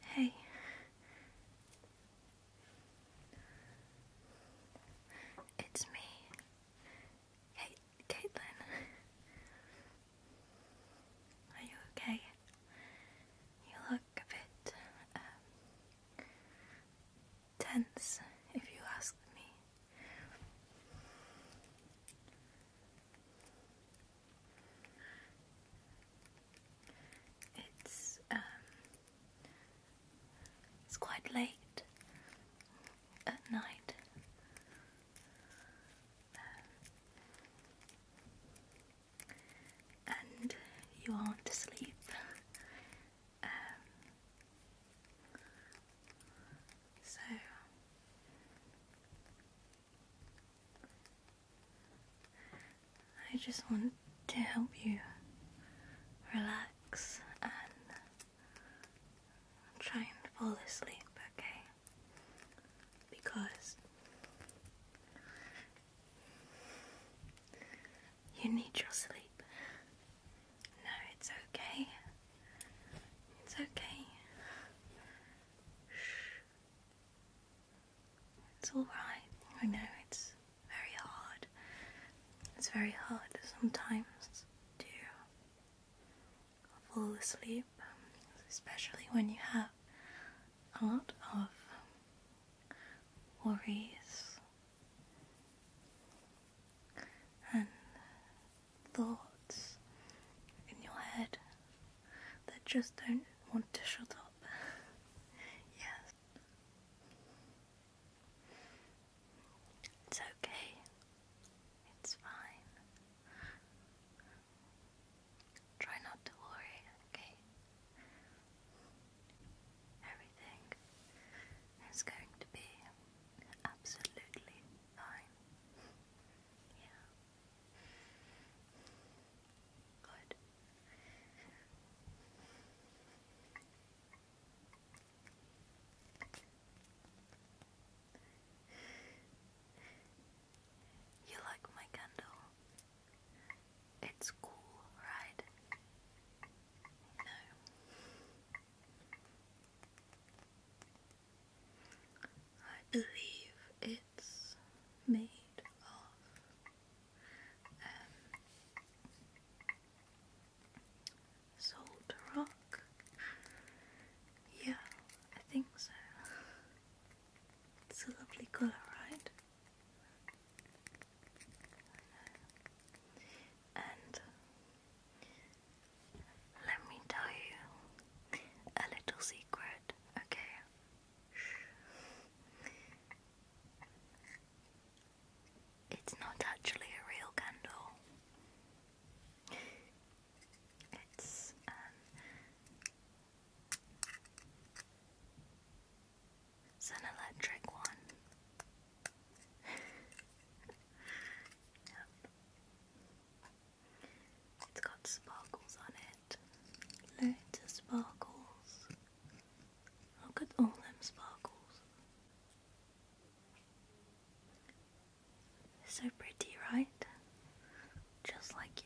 Hey. It's me. Caitlin. Are you okay? You look a bit um, tense, if you ask me. It's um, it's quite late at night and you aren't asleep. Um, so I just want to help you relax and try and fall asleep, okay? Because you need your sleep. No, it's okay. It's okay. It's alright. I know it's very hard. It's very hard sometimes to fall asleep, especially when you have a lot of worries and thoughts in your head that just don't want to shut up. yes. It's okay. It's fine. Try not to worry, okay? Everything is going to be absolutely fine. Yeah. Good. You like my candle? It's cool, right? No. I believe it's made of um, salt rock. Yeah, I think so. It's a lovely colour, right? And let me tell you a little secret, okay? It's not actually a real candle. Um, it's an electric one. yep. It's got sparkles on it. Loads of sparkles. Look at all them sparkles. So pretty, right? Just like you.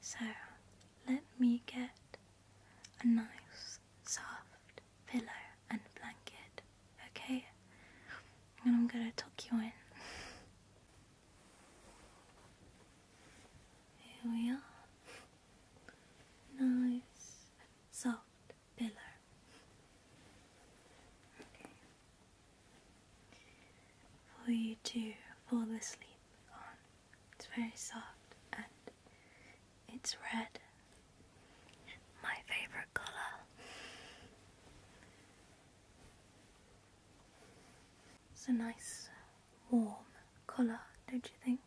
So let me get a nice soft pillow and blanket, okay? And I'm gonna tuck you in. Here we are nice soft pillow. Okay. For you to fall asleep on. It's very soft and it's red. My favorite color. It's a nice warm colour, don't you think?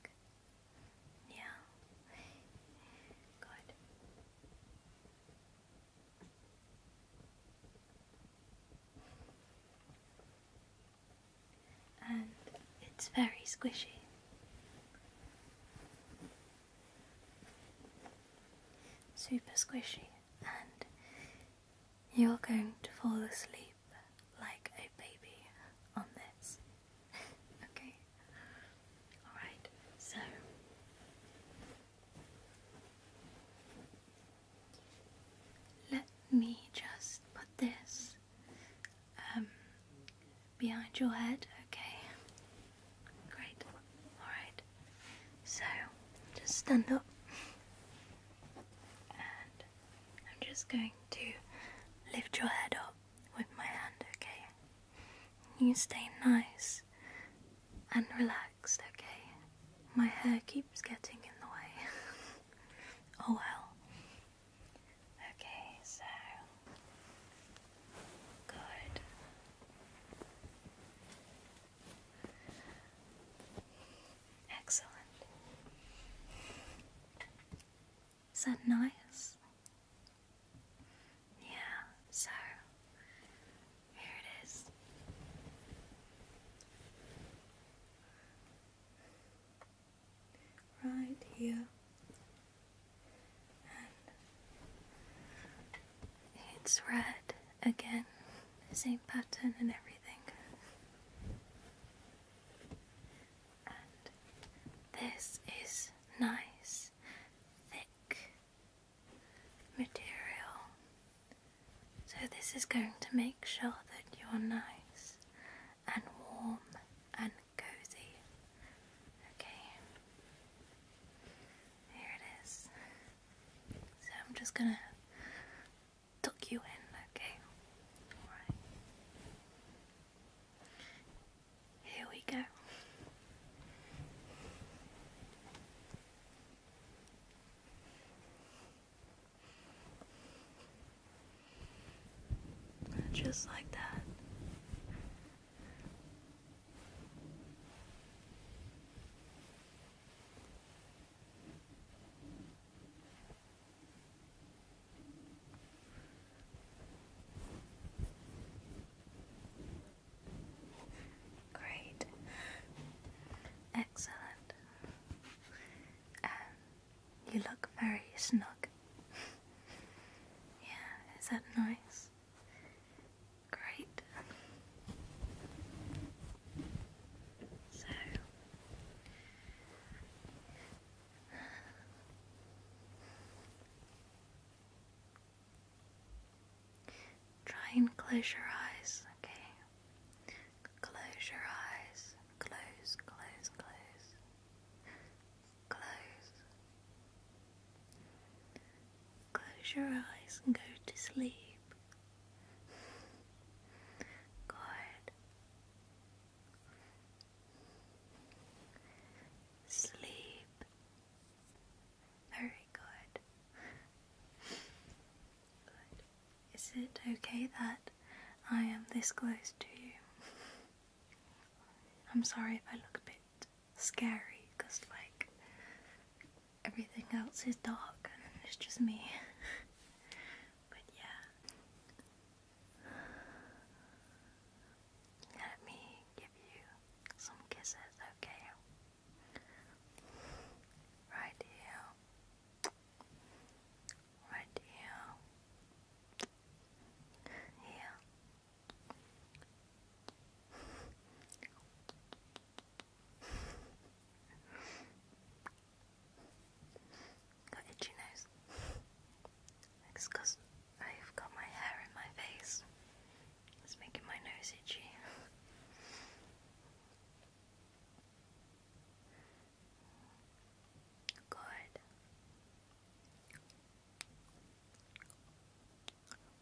Yeah. Good. And it's very squishy. Super squishy, and you're going to fall asleep like a baby on this. okay? Alright, so let me just put this um, behind your head, okay? Great, alright. So just stand up and I'm just going to lift your head up with my hand, okay? You stay nice and relaxed, okay? My hair keeps getting in the way. oh well. Okay, so. Good. Excellent. Is that nice? Yeah, so here it is. Right here. And it's red again, see? pattern and everything. this is nice, thick material. So, this is going to make sure that you're nice and warm and cozy. Okay, here it is. So, I'm just gonna took you in, okay? Alright. Here we go. Just like that. Great. Excellent. Um, you look very snug. yeah, is that nice? Great. Try and close your eyes, okay? Close your eyes. Close, close, close. Close. Close your eyes and go to sleep. Good. Sleep. Very good. Is it okay that I am this close to you? I'm sorry if I look a bit scary, because, like, everything else is dark and it's just me. but yeah. Let me give you some kisses, okay? Right here. Right here. Here got itchy nose. It's because I've got my hair in my face. It's making my nose itchy. Good.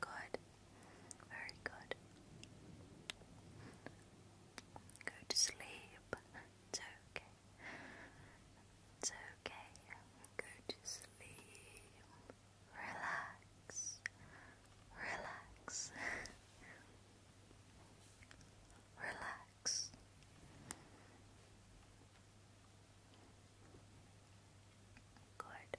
Good. Very good. Go to sleep. It's okay. It's okay. Go to sleep. Relax. Relax. Relax relax. Good. Good.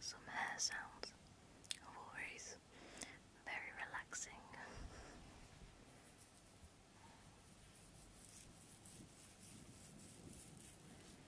Some hair sounds of always very relaxing.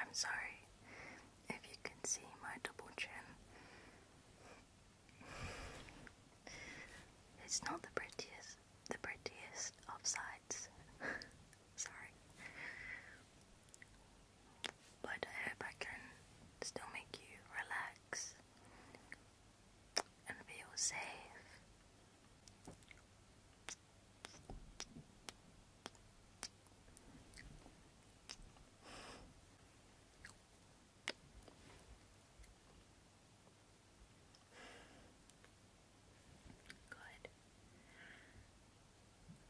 I'm sorry if you can see my double chin. It's not the prettiest, the prettiest of sides. Sorry. But I hope I can still make you relax and feel safe. Good.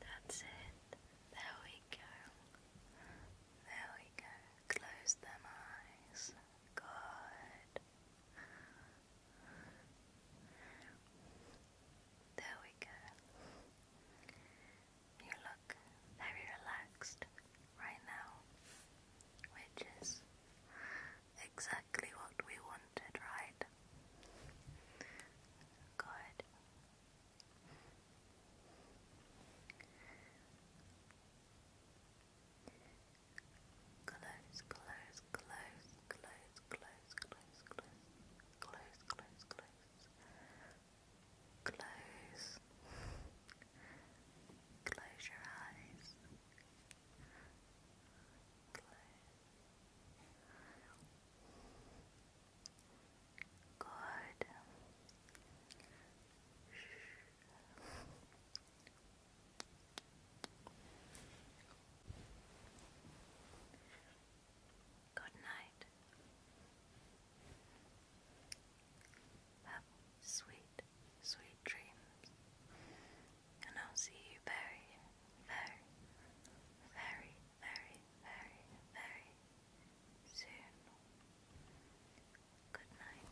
That's it. There we go. There we go. Close them eyes. Good. There we go. You look very relaxed right now, which is exactly what we wanted, right? Good. Close, close, close, close, close, close, close, close, close, close. Close. Close your eyes. Good. Good night. Have sweet, sweet dreams and I'll see you very, very, very, very, very, very soon. Good night.